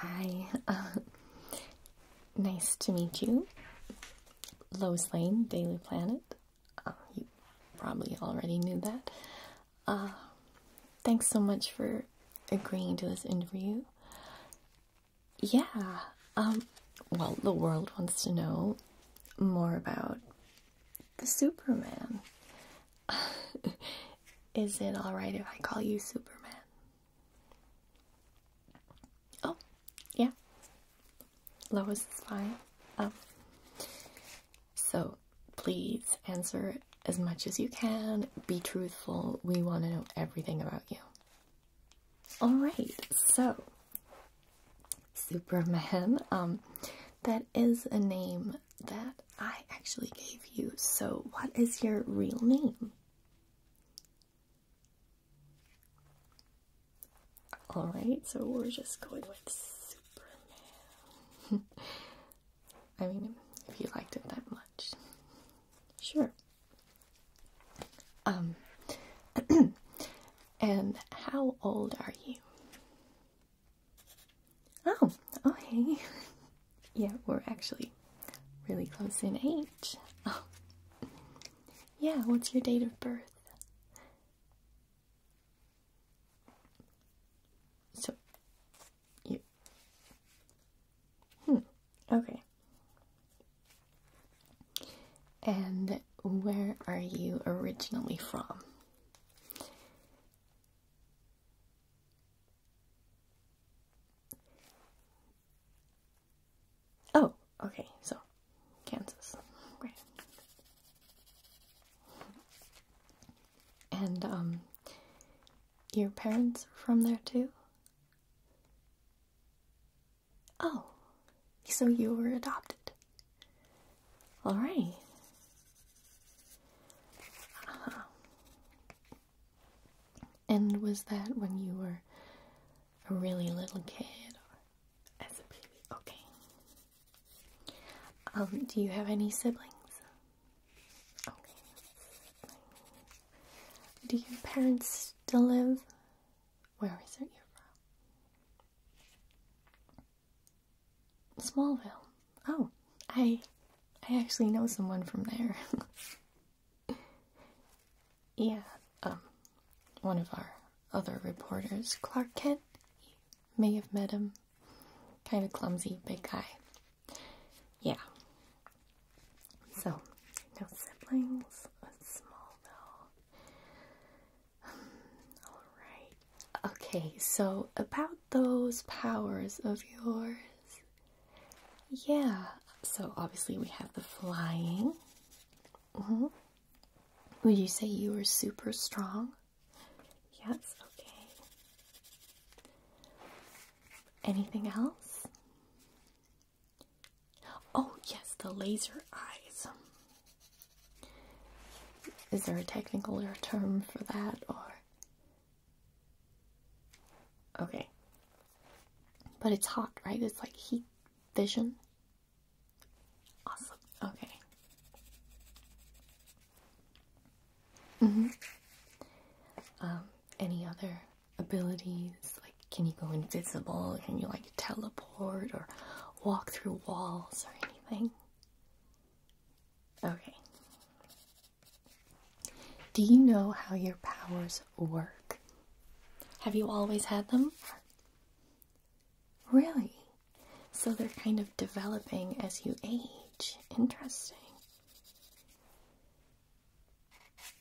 Hi, nice to meet you. Lois Lane, Daily Planet. Uh, you probably already knew that. Uh, thanks so much for agreeing to this interview. Yeah, um, well, the world wants to know more about the Superman. Is it alright if I call you Superman? Oh, yeah. Lois is fine. Um, so please answer as much as you can. Be truthful. We want to know everything about you. Alright, so Superman, um, that is a name that I actually gave you. So, what is your real name? Alright, so we're just going with Superman. I mean, if you liked it that much, sure. Um, and how old are you? Oh, okay. yeah, we're actually really close in age. Oh. Yeah, what's your date of birth? So, you. Hmm. Okay. And where are you originally from? Oh, okay, so Kansas. Great. And um your parents from there too? Oh, so you were adopted. All right. Uh-huh. And was that when you were a really little kid as a baby? Okay. Um, do you have any siblings? Okay. Do your parents still live? Where is it you're Smallville. Oh, I I actually know someone from there. yeah, um one of our other reporters, Clark Kent. may have met him. Kind of clumsy, big guy yeah. So, no siblings. small though. all right. Okay. So about those powers of yours. Yeah. So obviously we have the flying. Mm-hmm. Would you say you are super strong? Yes, okay. Anything else? Oh, yes, the laser eyes. Is there a technical term for that or? Okay. But it's hot, right? It's like heat vision. Awesome. Okay. Mm-hmm. Um, any other abilities? Like, can you go invisible? Can you, like, teleport or walk through walls or anything? Okay. Do you know how your powers work? Have you always had them? Really? So they're kind of developing as you age. Interesting.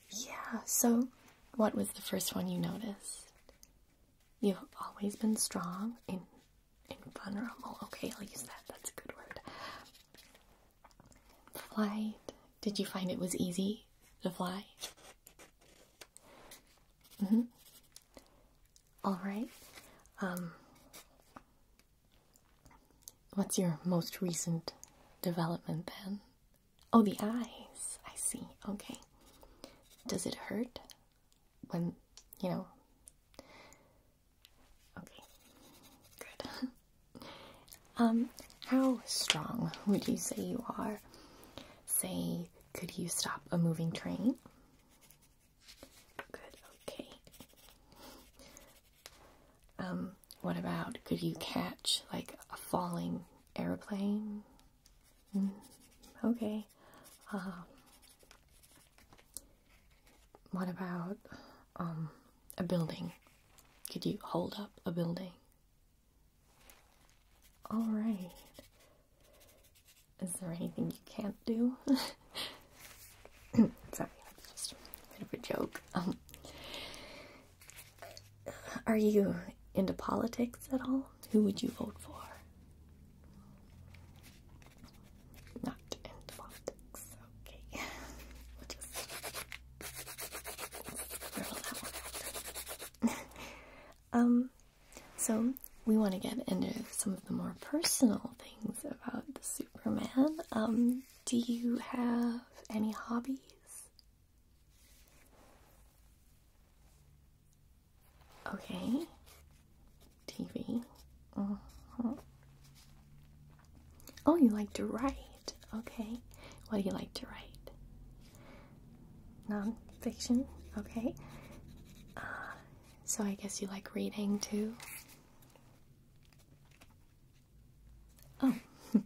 Yeah, so what was the first one you noticed? You've always been strong and, and vulnerable. Okay, I'll use that. That's a good word. Flight. Did you find it was easy to fly? Mm-hmm. All right. Um, What's your most recent development then? Oh, the eyes. I see. Okay. Does it hurt when, you know? Okay. Good. um, how strong would you say you are? Say, could you stop a moving train? Good, okay. Um, what about could you catch like a falling airplane? Mm, okay. Um, what about um a building? Could you hold up a building? All right. Is there anything you can't do? Sorry, just a bit of a joke. Um, are you into politics at all? Who would you vote for? Not into politics. Okay. um, so we want to get into some of the more personal things about the Superman. Um, do you have any hobbies? Okay. TV. Mm-hmm. Oh, you like to write. Okay. What do you like to write? Nonfiction. Okay. Uh, so I guess you like reading too? Oh.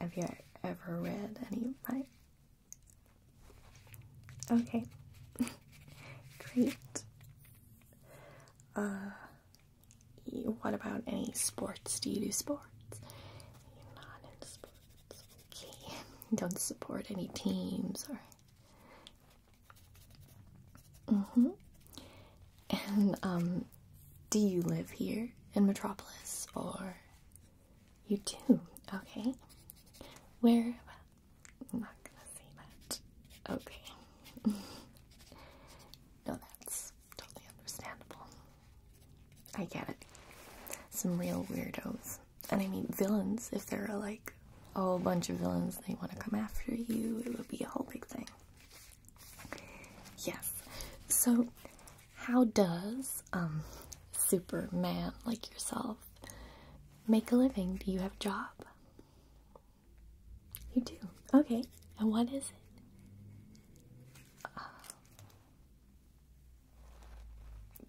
Have you ever read any of my. Okay. Great. Uh, what about any sports? Do you do sports? not into sports. Okay. Don't support any teams or Mm-hmm. And um, do you live here in Metropolis or you do? Okay. Where? I'm not gonna say that. Okay. no, that's totally understandable. I get it. Some real weirdos and I mean villains, if there are like a whole bunch of villains, they want to come after you, it would be a whole big thing. Yes. So, how does um, Superman like yourself make a living? Do you have a job? You do. Okay. And what is it?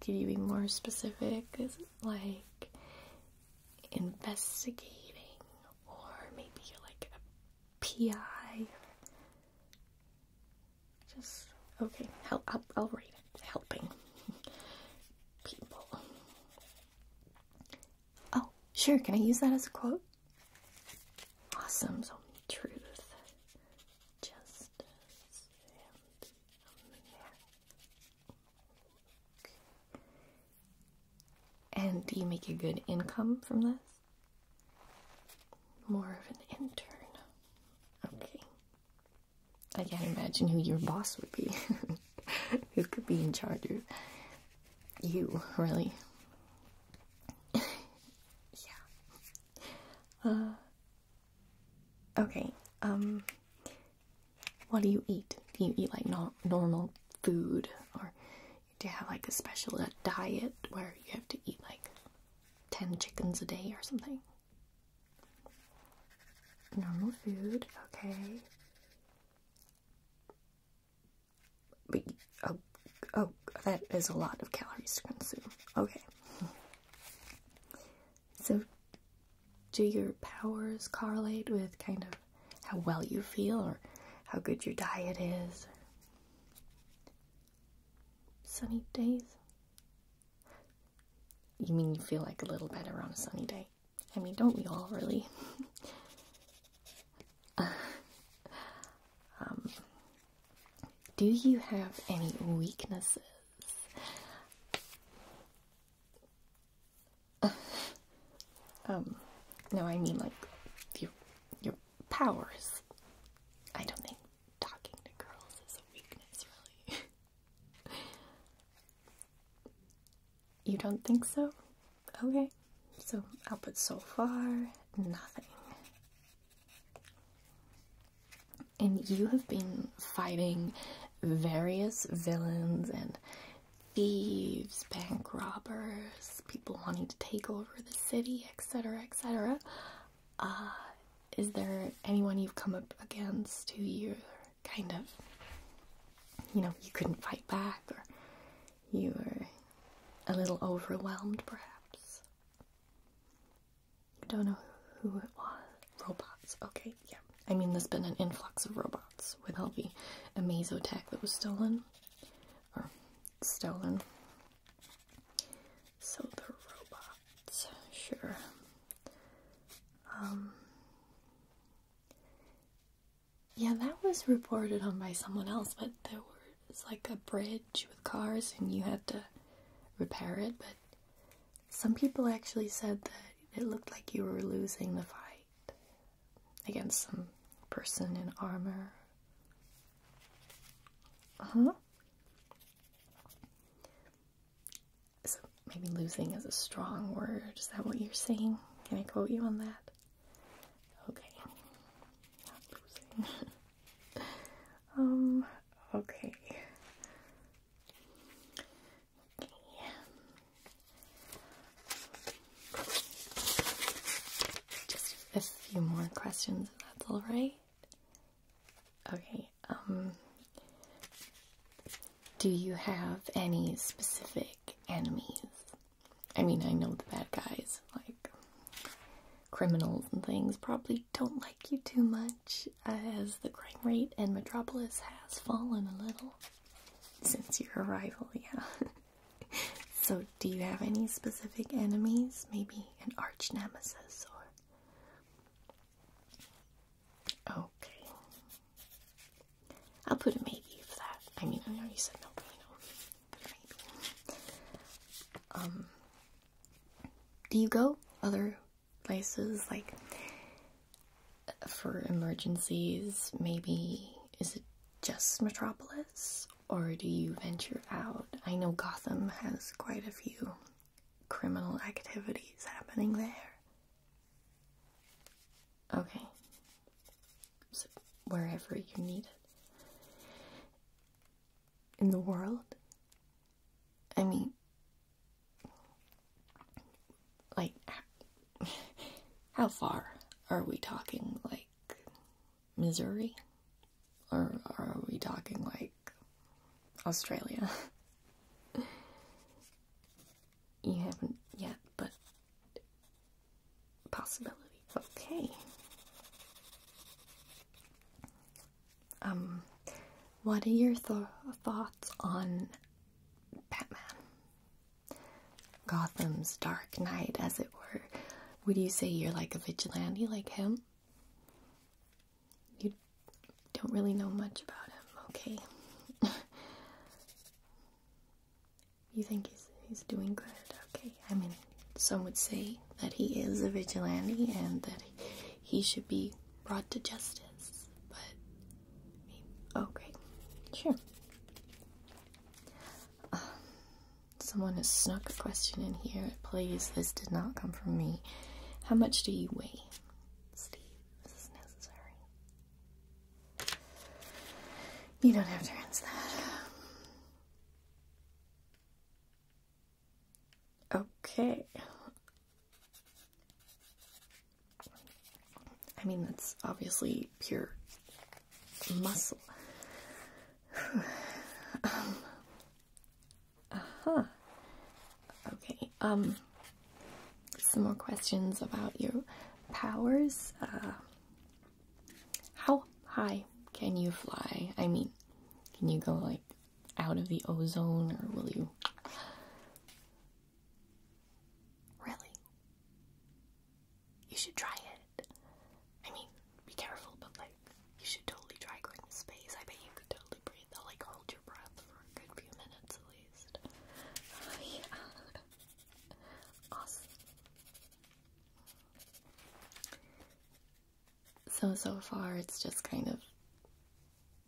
Can uh, you be more specific? like investigating, or maybe like a PI. Just okay. I'll, I'll read it. Helping people. Oh, sure. Can I use that as a quote? Awesome. So truth, justice, and and do you make a good income from this? More of an intern. Okay. I can't imagine who your boss would be. who could be in charge of you, really? yeah. Uh, Okay, um, what do you eat? Do you eat like normal food, or do you have like a special uh, diet where you have to eat like 10 chickens a day or something? Normal food, okay. oh, oh, that is a lot of calories to consume. Okay. So, do your powers correlate with kind of how well you feel or how good your diet is? Sunny days? You mean you feel like a little better on a sunny day? I mean, don't we all really? Um, do you have any weaknesses? um, no, I mean like your your powers. I don't think talking to girls is a weakness, really. you don't think so? Okay, so i put so far nothing and you have been fighting various villains and thieves, bank robbers, people wanting to take over the city, etc., etc. Uh, is there anyone you've come up against who you kind of, you know, you couldn't fight back or you were a little overwhelmed perhaps? I don't know who it was. Robots. Okay, yeah. I mean, there's been an influx of robots with all the Amazo that was stolen. Or stolen. So the robots, sure. Um, yeah, that was reported on by someone else, but there was like a bridge with cars and you had to repair it, but some people actually said that it looked like you were losing the fight against some person in armor. Uh huh. So maybe losing is a strong word. Is that what you're saying? Can I quote you on that? Okay. Not losing. um. Okay. Okay. Just a few more questions, if that's all right. Okay. Um. Do you have any specific enemies? I mean, I know the bad guys, like criminals and things, probably don't like you too much as the crime rate in Metropolis has fallen a little since your arrival, yeah. so, do you have any specific enemies? Maybe an arch nemesis or. Okay. I'll put a maybe for that. I mean, I know you said no, but Maybe. Um, do you go other places like for emergencies? Maybe is it just Metropolis or do you venture out? I know Gotham has quite a few criminal activities happening there. Okay. wherever you need it. In the world, I mean, like, how far are we talking? Like, Missouri? Or are we talking like Australia? you haven't yet, but possibility. Okay. Um, what are your thoughts on Batman? Gotham's Dark Knight, as it were. Would you say you're like a vigilante like him? You don't really know much about him, okay? you think he's he's doing good, okay? I mean, some would say that he is a vigilante and that he should be brought to justice. But, I okay, sure. someone has snuck a question in here. Please, this did not come from me. How much do you weigh? Steve, this is necessary. You don't have to answer that. Okay. I mean, that's obviously pure muscle. uh huh. Okay. Um. Some more questions about your powers. Uh, how high can you fly? I mean, can you go like out of the ozone, or will you? Really? You should try it. I mean, be careful, but like, you should totally try going to space. I bet you could totally breathe. They'll like hold your breath for a good few minutes at least. Oh, yeah. Awesome. So, so far, it's just kind of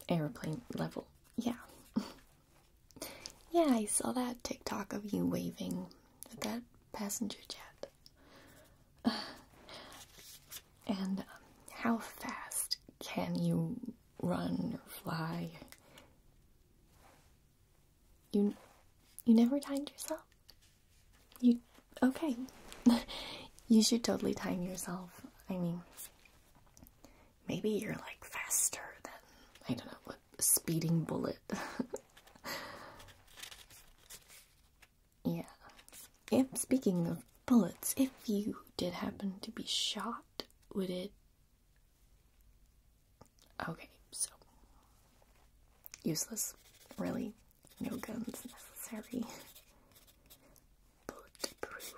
airplane level. Yeah. yeah, I saw that TikTok of you waving at that passenger jet. and um, how fast can you run or fly? You, you never timed yourself? You okay? you should totally time yourself. I mean, maybe you're like faster than I don't know what speeding bullet. yeah. If speaking of bullets, if you did happen to be shot, would it? Okay, so useless, really. No guns necessary. Bulletproof.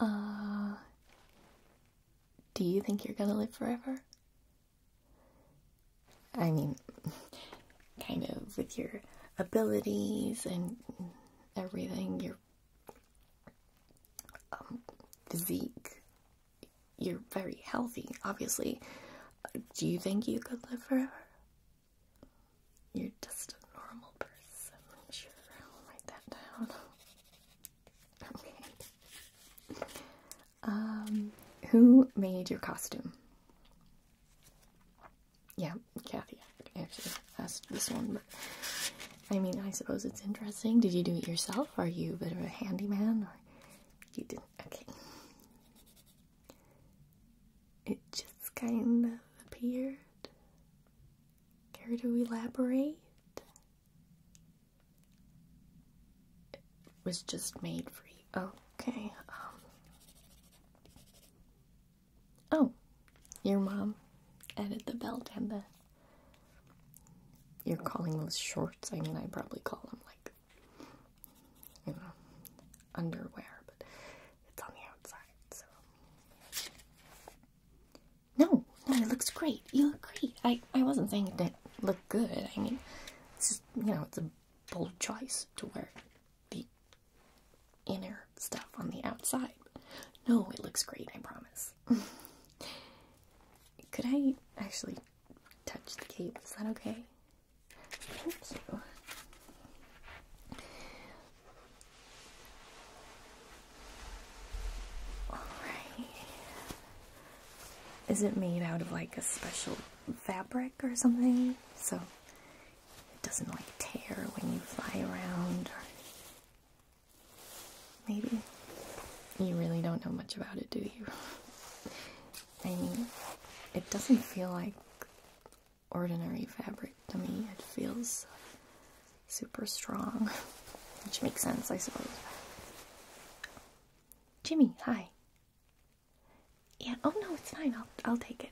Uh, do you think you're gonna live forever? I mean, kind of with your abilities and everything, your um, physique, you're very healthy, obviously. Do you think you could live forever? You're just a normal person. Sure, I'll write that down. Okay. Um, who made your costume? Yeah, Kathy, actually, that's this one, but I mean, I suppose it's interesting. Did you do it yourself? Are you a bit of a handyman, or you didn't? Okay. It just kind of appeared. Care to elaborate? It was just made for you. Okay. Um. Oh, your mom added the belt and the. You're calling those shorts? I mean, I probably call them like you know, underwear, but it's on the outside, so. No, no, it looks great. You look great. I, I wasn't saying it didn't look good. I mean, it's just, you know, it's a bold choice to wear the inner stuff on the outside. No, it looks great, I promise. Could I actually touch the cape. Is that okay? Thank you. Alright. Is it made out of like a special fabric or something? So it doesn't like tear when you fly around or maybe you really don't know much about it, do you? I mean, it doesn't feel like ordinary fabric to me. It feels super strong, which makes sense, I suppose. Jimmy, hi. Yeah, oh no, it's fine. I'll I'll take it.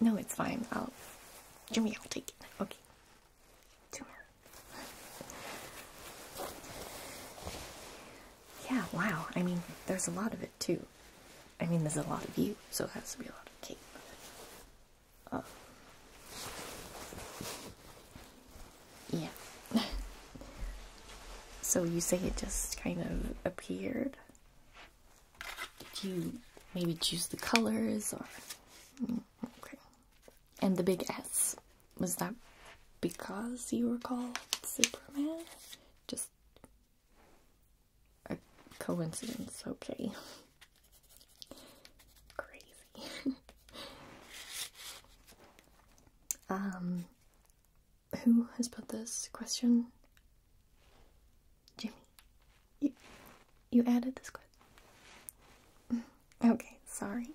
No, it's fine. I'll Jimmy, I'll take it. Okay. Tumor. yeah, wow. I mean, there's a lot of it too. I mean, there's a lot of you, so it has to be a lot of cake. Oh. yeah. so you say it just kind of appeared? Did you maybe choose the colors or. Mm, okay. And the big S. Was that because you were called Superman? Just a coincidence, okay. Crazy. um, who has put this question? Jimmy. You, you added this question? Okay, sorry.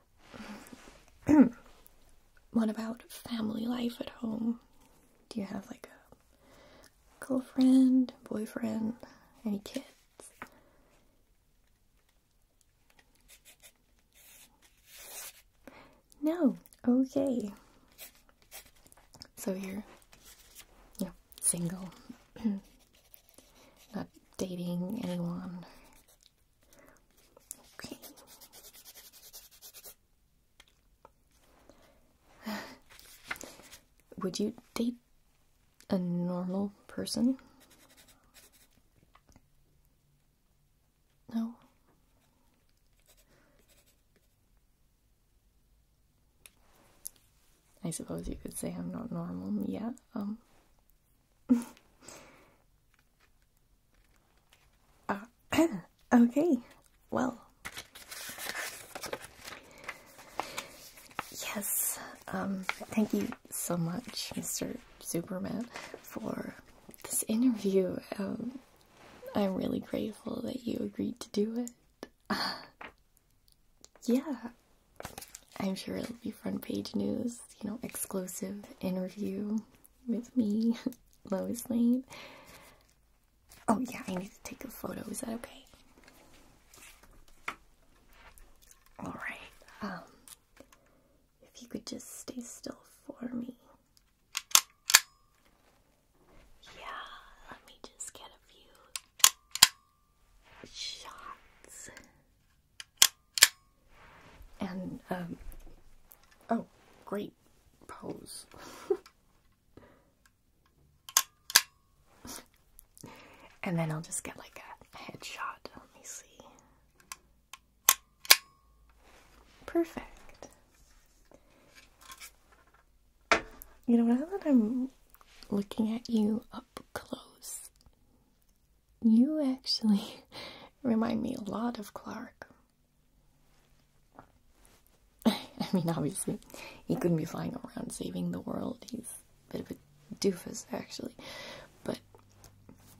what about family life at home? Do you have like a girlfriend, boyfriend, any kids? No. Okay. So you're, single. Not dating anyone. Okay. Would you date a normal person? No. I suppose you could say I'm not normal. yet. Um, uh, okay, well. Yes, um, thank you so much, Mr. Superman, for this interview. Um, I'm really grateful that you agreed to do it. yeah, I'm sure it'll be front page news, you know, exclusive interview with me, Lois Lane. Oh, yeah, I need to take a photo. Is that okay? Alright, um, if you could just stay still for me. Yeah, let me just get a few shots. And, um, oh, great pose. and then I'll just get like a headshot. Let me see. Perfect. You know, now that I'm looking at you, up close. You actually remind me a lot of Clark. I mean, obviously, he couldn't be flying around saving the world. He's a bit of a doofus, actually. But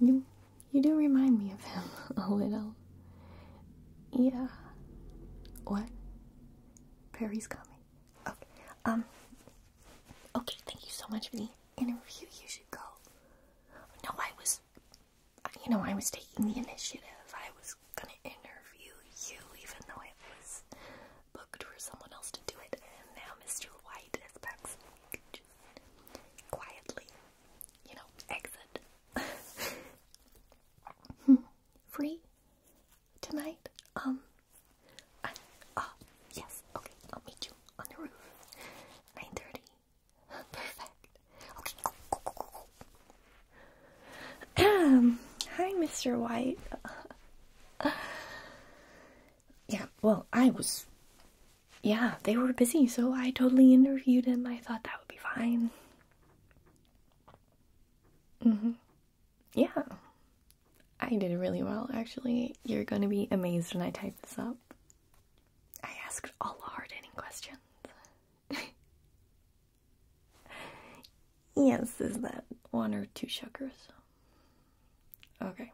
you, you do remind me of him a little. Yeah. What? Perry's coming. Okay. Um, Okay, thank you so much for the interview. You should go. No, I was, you know, I was taking the initiative. I was gonna interview you, even though it was booked for someone else to do it. And now Mr. White is back, quietly, you know, exit. Free tonight. Um, I, uh, yes, okay, I'll meet you on the roof. 9.30. Perfect. Okay, go, go, go, Um, hi, Mr. White. yeah, well, I was, yeah, they were busy, so I totally interviewed him. I thought that would be fine. Mm-hmm. Yeah. I did really well, actually. You're gonna be amazed when I type this up. I asked all hard-hitting questions. yes, is that one or two sugars? Okay.